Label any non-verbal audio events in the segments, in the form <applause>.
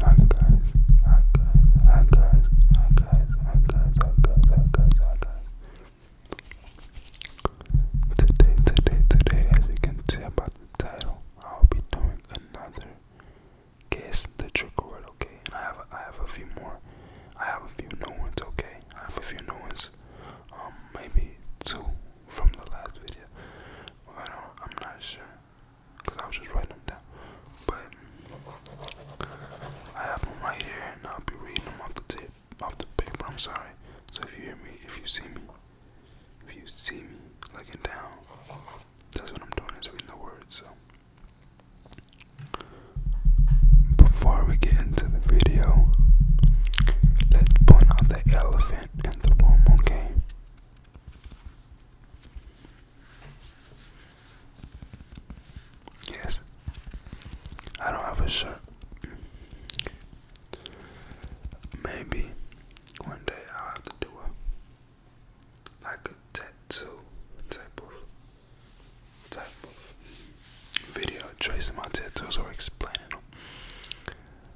Hi guys, hi guys, hi guys, hi guys, hi guys, hi guys, hi guys, Today, today, today, as you can tell about the title, I'll be doing another guess the trigger word, okay? I have a, I have a few more. I have a few new ones, okay? I have a few new ones. Um, maybe two from the last video. I don't, I'm not sure because I was just writing them down. But I have them right here, and I'll be reading them off the tip, off the paper. I'm sorry. So if you hear me, if you see me, if you see me looking down, that's what I'm doing is reading the words. So before we get into the video, let's point out the elephant in the room, okay? Yes. I don't have a shirt. Maybe one day I'll have to do a like a tattoo type of type of video tracing my tattoos or explaining them.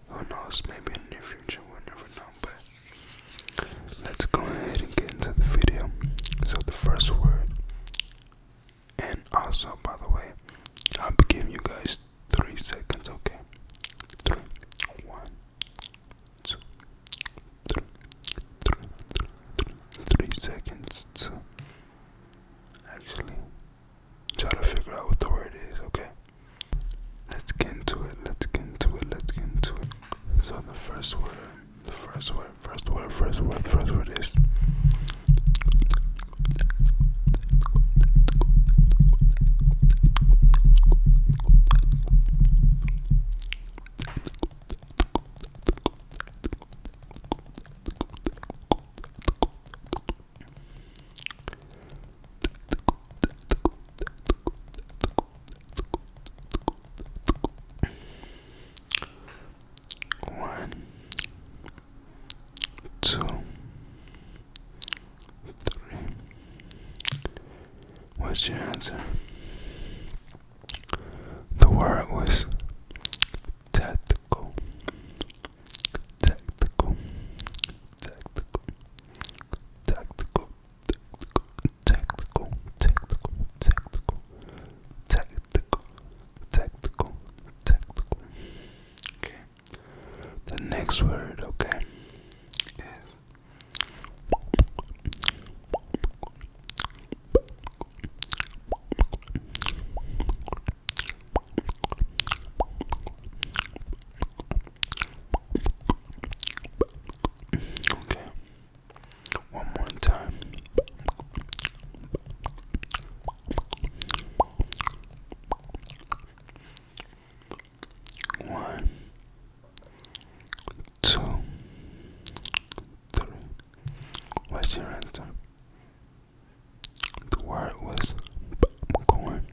Who knows? Maybe in the near future, we'll never know. But Let's go ahead and get into the video. So the first word, and also by the way, I'll be giving you guys three seconds, okay? Three, one, two, three, three, three, three seconds actually try to figure out what the word is, okay? Let's get into it. Let's get into it. Let's get into it. So the first word, the first word, first word, first word, first word is one, two, three. What's your answer? The word was tactical, tactical, tactical, tactical, technical, technical, technical, technical, technical, technical. Okay. The next word, okay, Okay. One more time. One, two, three. What's your answer? The word was corn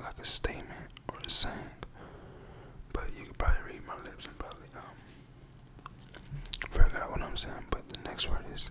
like, a statement or a saying. But you could probably read my lips and probably um figure out what I'm saying. But the next word is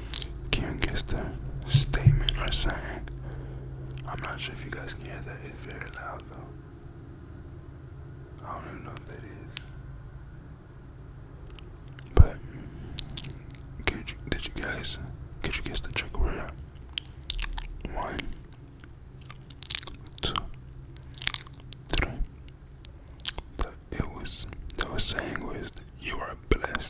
Can you guess the statement I or saying. I'm not sure if you guys can hear that. It's very loud though. I don't even know what that is. But did you guys could you guess the trick where One, two, three. The, it was the saying was you are blessed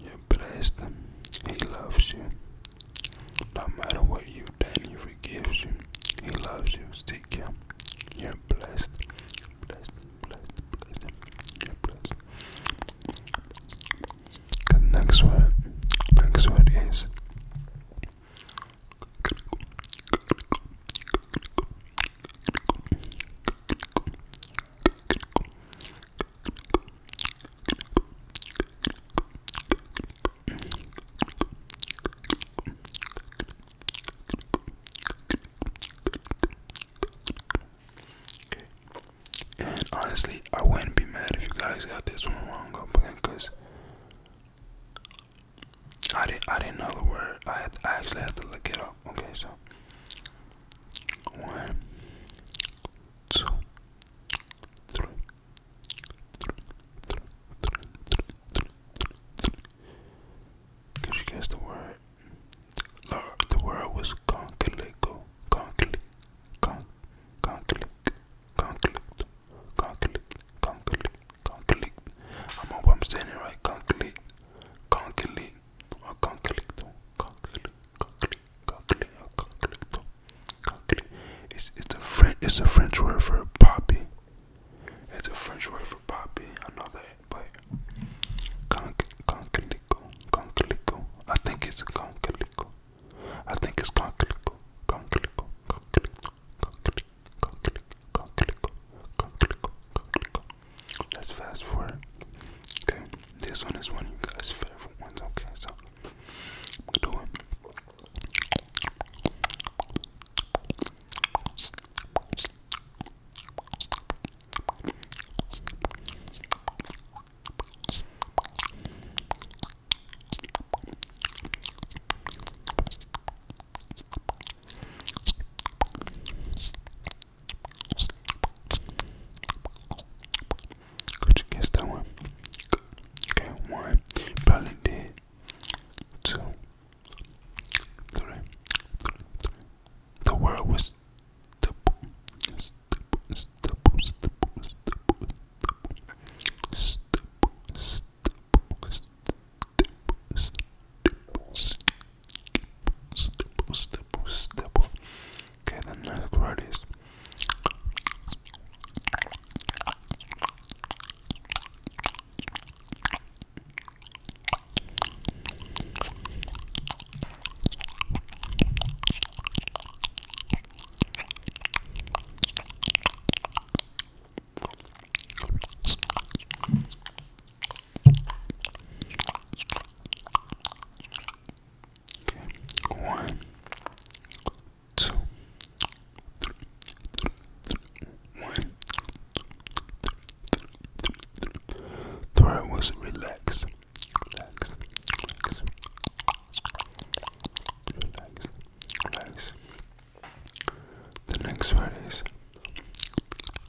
You're blessed. He loves you. No matter what you've done, He forgives you. He loves you. Seek Him. You're blessed. Blessed, blessed, blessed. You're blessed. The next word, next word is. Okay. And honestly, I wouldn't be mad if you guys got this one wrong up again, cause I didn't I didn't know the word. I I actually had to look it up. Okay, so one, two, three, three, three, three, three, three, three o conflicto, conflicto, conflicto, conflicto, conflicto. It's it's a French it's a French word for poppy. It's a French word for poppy. I know that, but con conclico, conclico. I think it's conclico. I think it's conclico, conclico, conclico, conclico, conclico, conclico, conclico, conclico. Let's fast forward. Okay, this one is one of you guys' favorite ones. Okay, so do it. Could you guess that one? Okay, one. Probably did. Two. The world was stipple, stipple, stipple. Okay, the next word is Okay. One, two, three, was relax. The next word is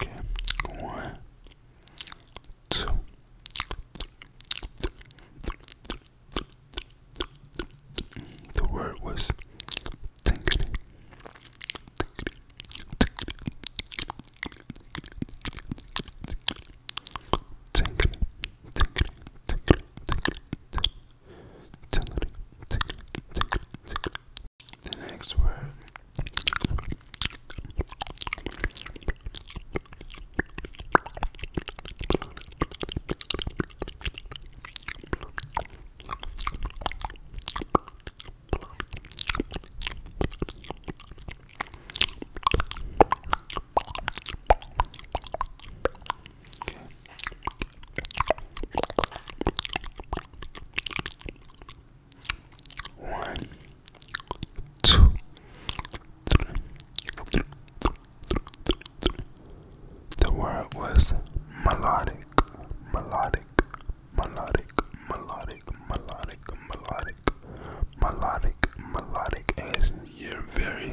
Okay, one, two, the word was tinkety. Tinkety, tinkety, tinkety, tinkety, tinkety, tinkety, tinkety, tinkety, the next word Okay. One, two, three. The word was melodic, melodic, melodic, melodic, melodic, melodic, melodic, melodic, as you're very.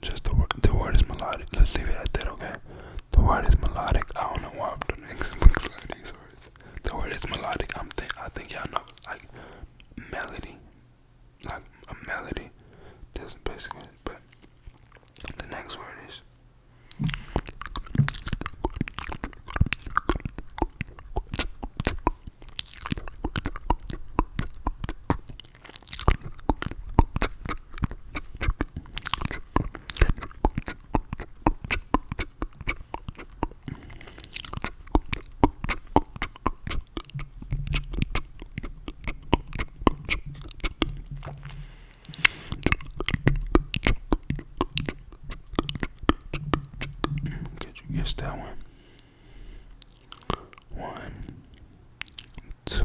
Just the word, the word is melodic. Let's leave it at that, okay? The word is melodic. I don't know why I'm doing <laughs> these words. The word is melodic. I'm think I think y'all know like melody, like a melody. That's basically. But the next word is. Could you guess that one? One, two,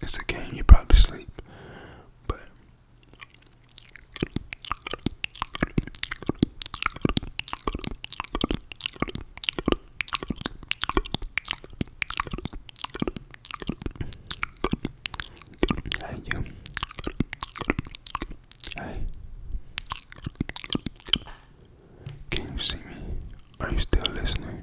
It's a game, you probably sleep. But Hey you Hey Can you see me? Are you still listening?